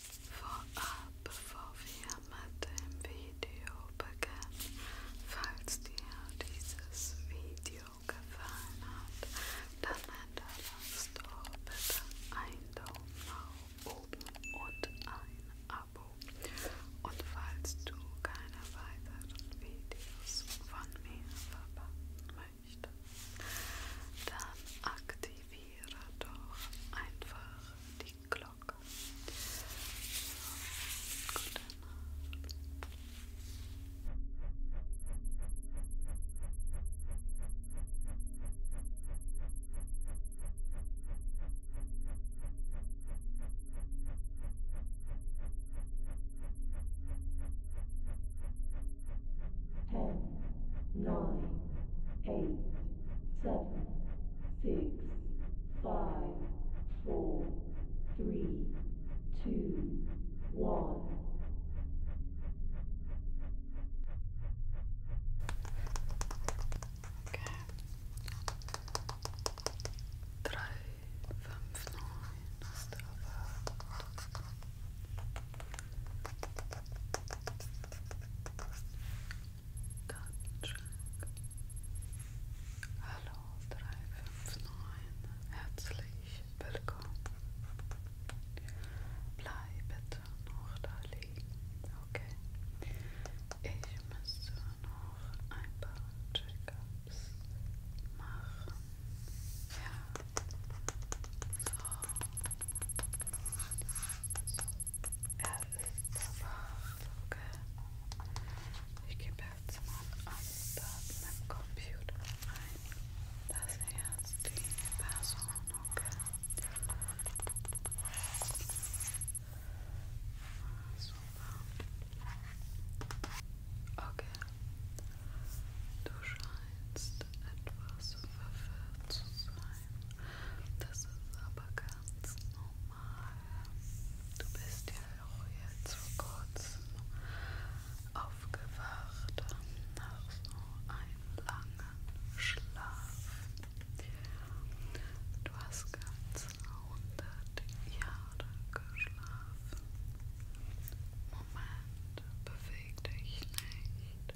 Vorab, bevor wir mit dem Video beginnen, falls dir dieses Video gefallen hat, dann hinterlass doch bitte einen Daumen nach oben und ein Abo. Und falls du keine weiteren Videos von mir verpassen möchtest, dann aktiviere aktiviere doch einfach die Glocke. So, gute Ten, nine, eight. seven, six, five, four, three, two, one. Okay. Datenschrank. Hallo 359, herzlich willkommen. Bleib bitte noch da liegen, okay? Ich müsste noch ein paar Check-ups machen. Ja. So. So. Verwahrloge. Ich gebe jetzt mal alles Daten im Computer ein. Das ist die Person, okay. Ah, super. Okay. Du scheinst etwas verwirrt zu sein. Das ist aber ganz normal. Du bist ja auch jetzt vor kurzem aufgewacht nach so einem langen Schlaf. Du hast ganze 100 Jahre geschlafen. Moment, beweg dich nicht.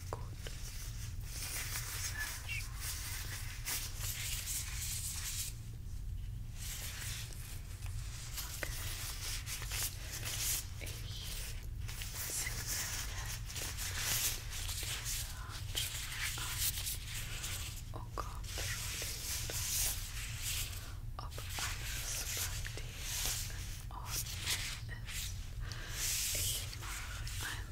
Gut. Sehr schön. Okay. Ich ziehe diese Handschuhe an und kontrolliere, ob alles bei dir in Ordnung ist. Ich mache ein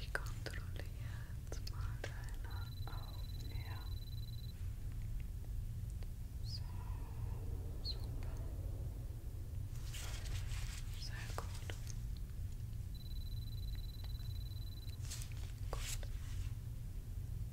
Ich kontrolliere jetzt mal deine So, super. Sehr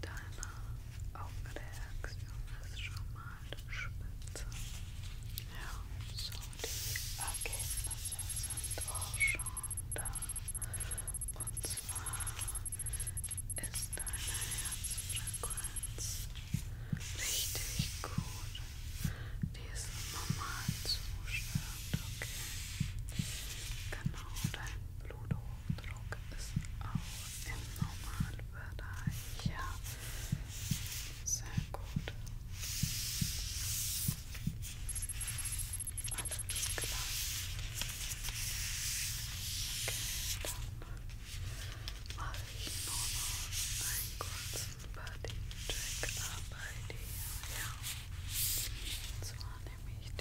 Deine Augenreaktion ist schon mal spitze. Ja, so die Ergebnisse sind auch schon da. Und zwar ist deine Herzfrequenz richtig gut. Die ist im Normalzustand, okay? Genau, dein Blutdruck Druck ist auch im Normalbereich. Ja, sehr gut. Alles klar. Okay, dann mache ich nur noch einen kurzen Body-Check bei dir. Ja. Und zwar nehme ich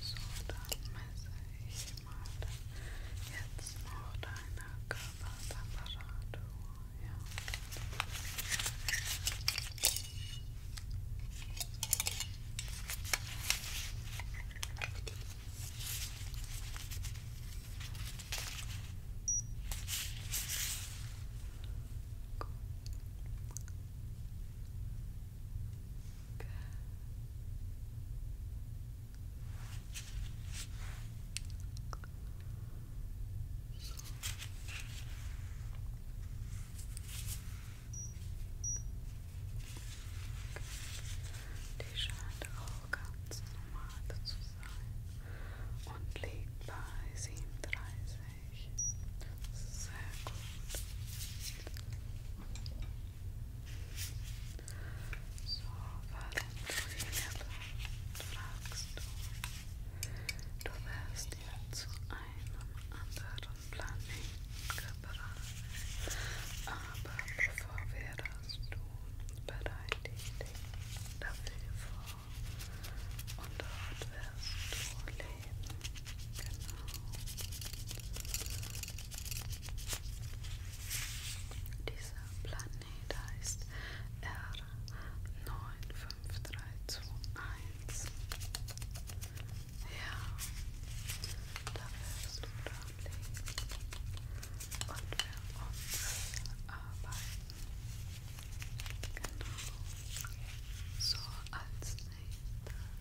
So, dann messe ich mal jetzt noch deine Körpertemperatur. Ja. Gut. Die scheint auch ganz normal zu sein und liegt bei 37. Sehr gut. So, warum fragst du? Du wärst ja zu einem anderen Planeten gebracht. Aber bevor wir das tun, bereite ich dich dafür vor. Und dort wirst du leben. Genau. Dieser Planet heißt R95321. Ja, da wirst du dran liegen und für uns arbeiten. Genau. So als nächstes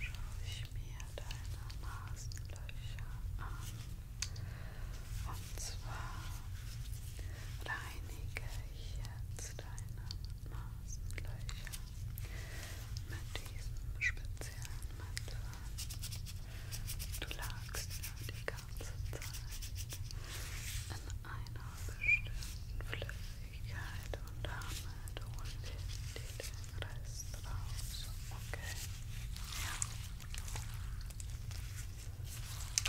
schaue ich mir deine Nasenlöcher an. Und zwar reinige ich jetzt deine Nasenlöcher mit diesem speziellen Mittel. Du lagst ja die ganze Zeit in einer bestimmten Flüssigkeit und damit holen wir die Rest raus. Okay. Ja.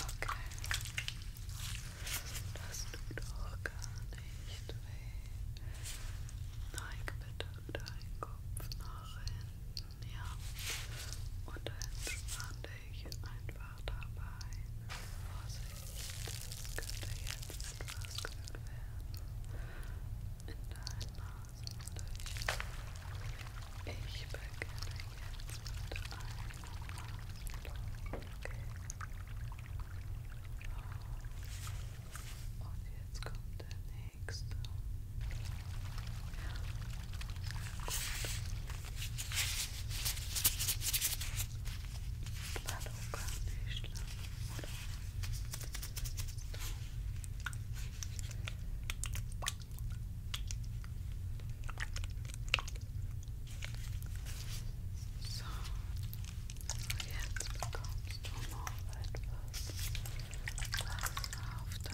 Okay. Das tut doch gar nicht weh. Neig bitte deinen Kopf nach hinten. Ja. Und entspann dich einfach dabei. Vorsicht, das könnte jetzt etwas kühl werden in deinen Nasenlöchern. Ich beginne jetzt mit einem Nasenloch. Okay. Und jetzt kommt der nächste. Ja. Gut. Was little brownish little, little. So, jetzt bekommst du noch etwas, was auf dein Gesicht gespritzt ja.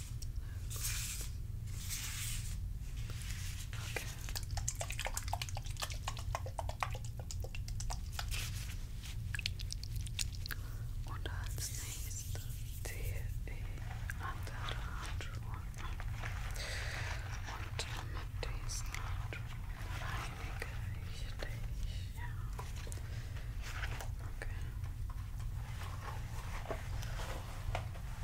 Okay. Und als nächstes ziehe ich andere Handschuhe an. Und mit diesen Handschuhen reinige ich dich. Ja. Okay. Okay.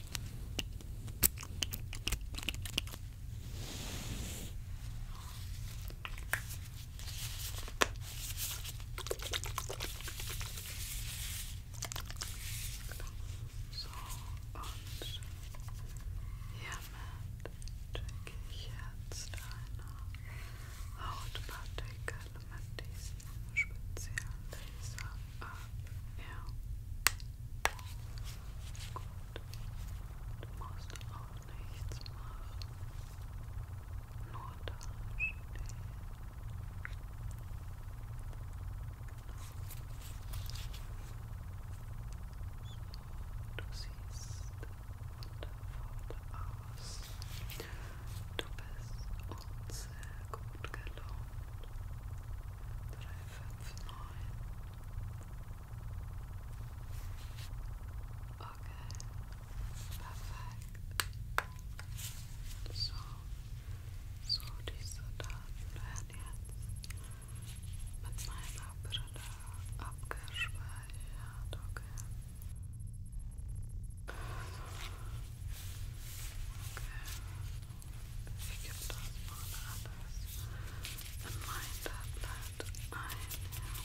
Genau. So, und hiermit checke ich jetzt deine Hautpartikel hat diesen speziellen Laser ab. Ja. Gut. Du musst auch nichts machen. Nur da stehen. So, du siehst wundervoll aus. Du bist unzählbar gut gelaunt. 359. Okay, perfekt. So, so diese Daten werden jetzt mit meiner Brille abgespeichert. Okay. Okay. forgiveness on others and mind up that I am Relax.